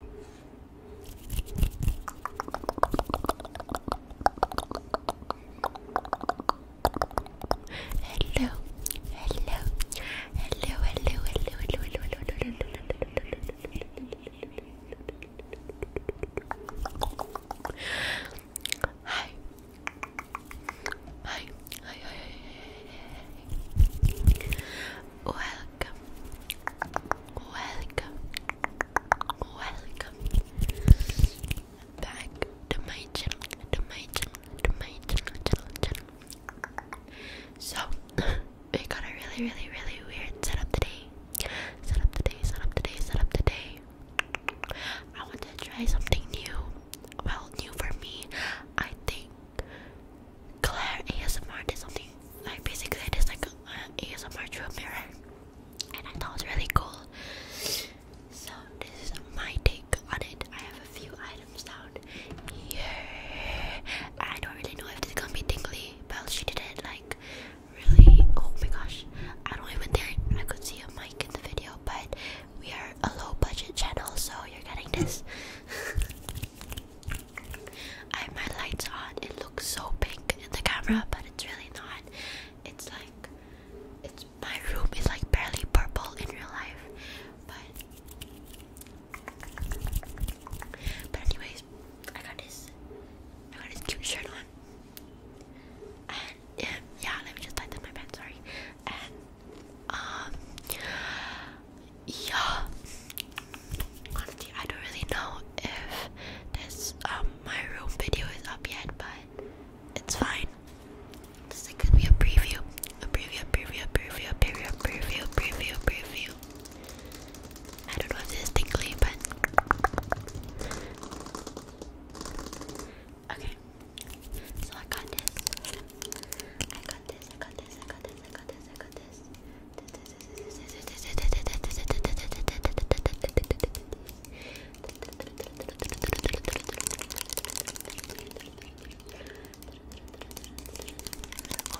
Hello, hello, hello, hello, hello, hello, hello, hello, hello. Hi. Hi. Hi, hi, hi, hi, hi, Welcome, welcome, welcome back to my channel, to my channel, to my channel, channel, So we got a really, really, really weird setup today. Set today, set today, set today. I want to try something new. Well, new for me. I think Claire ASMR did something like basically it is like an ASMR through a mirror, and I thought it was really cool. So this is my take on it. I have a few items down here. I don't really know if this is gonna be tingly, but she did it like really. Oh my gosh, I don't even think I could see a mic in the video, but we are a low budget channel, so you're getting this. I have my lights on. It looks so pink in the camera, but it's really not. It's like it's my room is like barely purple in real life. But But anyways, I got this I got this cute shirt on. And um, yeah, let me just light up my bed, sorry. Um, yeah. Honestly, I don't really know if this um, my room video is up yet, but it's fine. This is gonna be a preview, a preview, preview, preview, preview, preview, preview, preview. I don't know if this is tingly, but okay. So I got this. Oh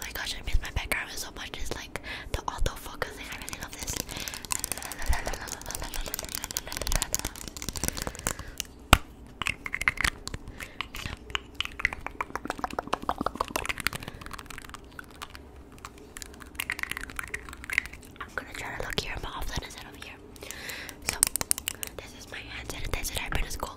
my gosh, I miss my background so much. It's like the autofocus thing. I really love this. I'm gonna try to look here, but often is it over here. So this is my hand sanitizer I've been to school.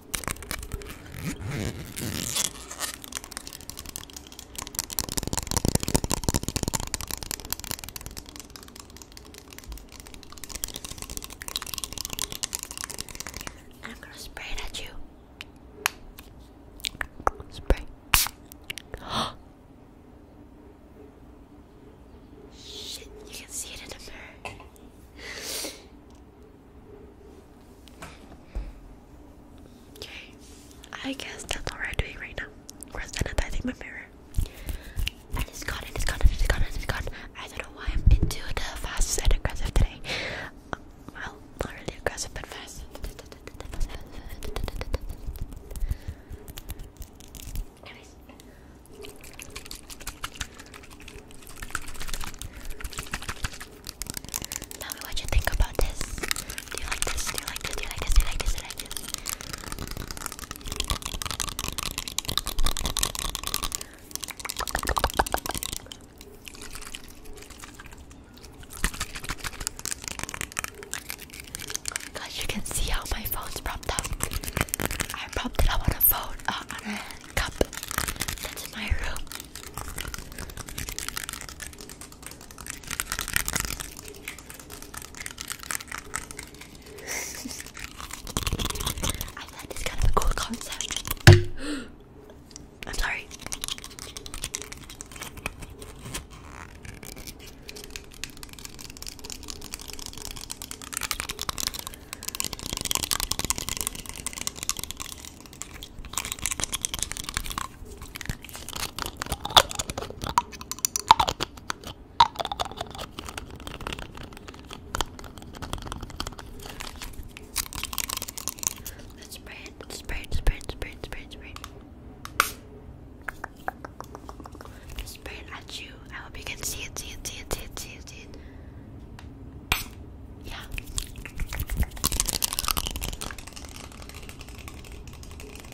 I'm gonna spray it at you. Spray. Shit, you can see it in the mirror. Okay, I guess that's all we're doing right now. We're sanitizing my mirror. And gone, and gone, and gone, and gone. I don't know why I'm into the fast and aggressive today. Uh, well, not really aggressive, but fast. Tell me what you think about this? Do you like this? Do you like this? Do you like this? Do you like this? Gosh, you can see how my phone's propped up. I propped it up on a phone, uh, on a cup that's in my room. I thought this kind of a cool concept. I'm sorry. Let's spray it, spray it, spray spray spray spray Spray at you. I hope you can see it, see it, see it, see it, see it, see it. Yeah.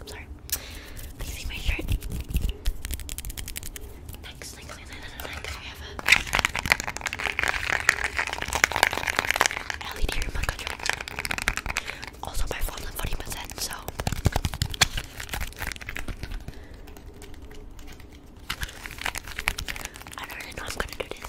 I'm sorry. see my shirt. Next, I have a LED remote control. Also, my phone's on 40%, so. I don't really know I'm gonna do this.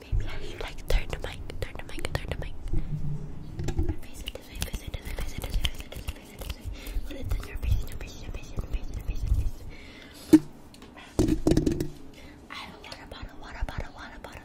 Maybe I should like turn the mic, turn the mic, turn the mic. My face is I visit, as I visit, as I visit, as I visit, as I visit, as I visit, as I visit, as I visit, as I have a water bottle, water bottle, water bottle.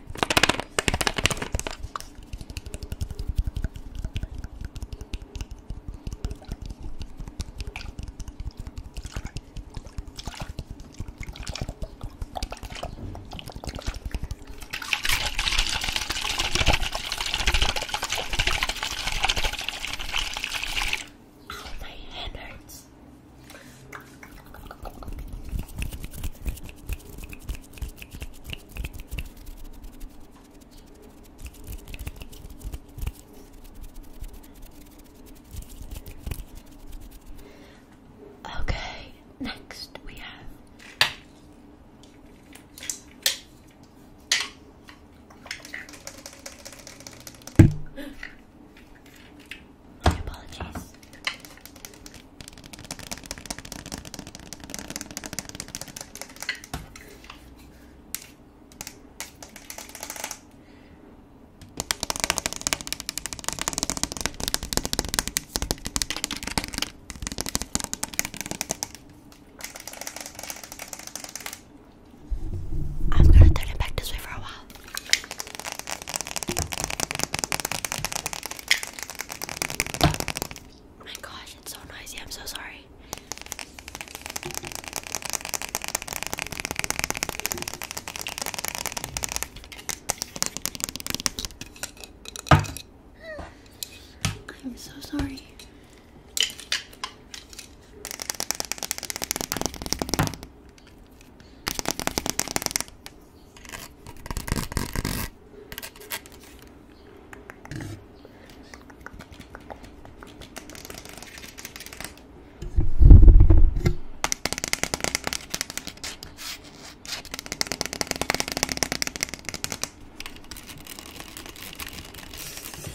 Oh, my hand hurts. Okay, next we have my apologies. I'm gonna turn it back this way for a while. Oh my gosh, it's so noisy. I'm so sorry. I'm so sorry. This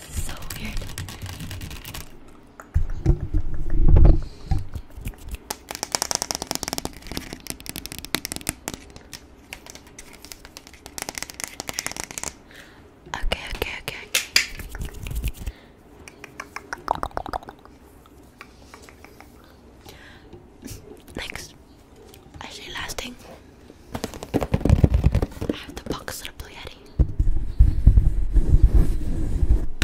is so weird. Okay, okay, okay, Next, actually, last thing, I have the box of the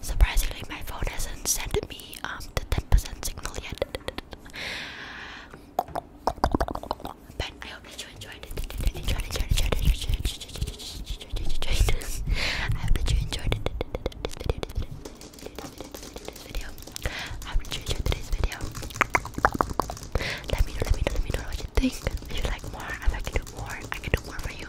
Surprisingly, my phone hasn't sent me um the 10% signal yet. I hope you enjoyed it. Enjoyed, enjoyed, enjoyed, enjoyed, enjoyed, I hope you enjoyed it. video, I hope you enjoyed today's video. Let me know, let me know, let me know what you think. If you like more, I can do more, I can do more for you.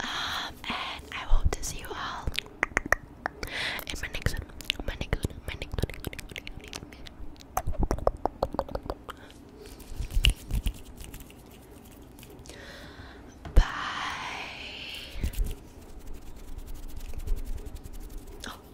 Um, and I hope to see you all in my next one. My next one. My next one. My next one. Bye. Oh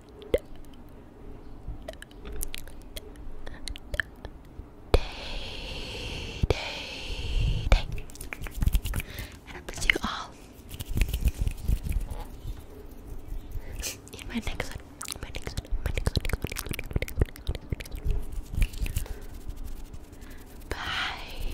Day, day, day. And I miss you all. In my next one, my next next one. Bye.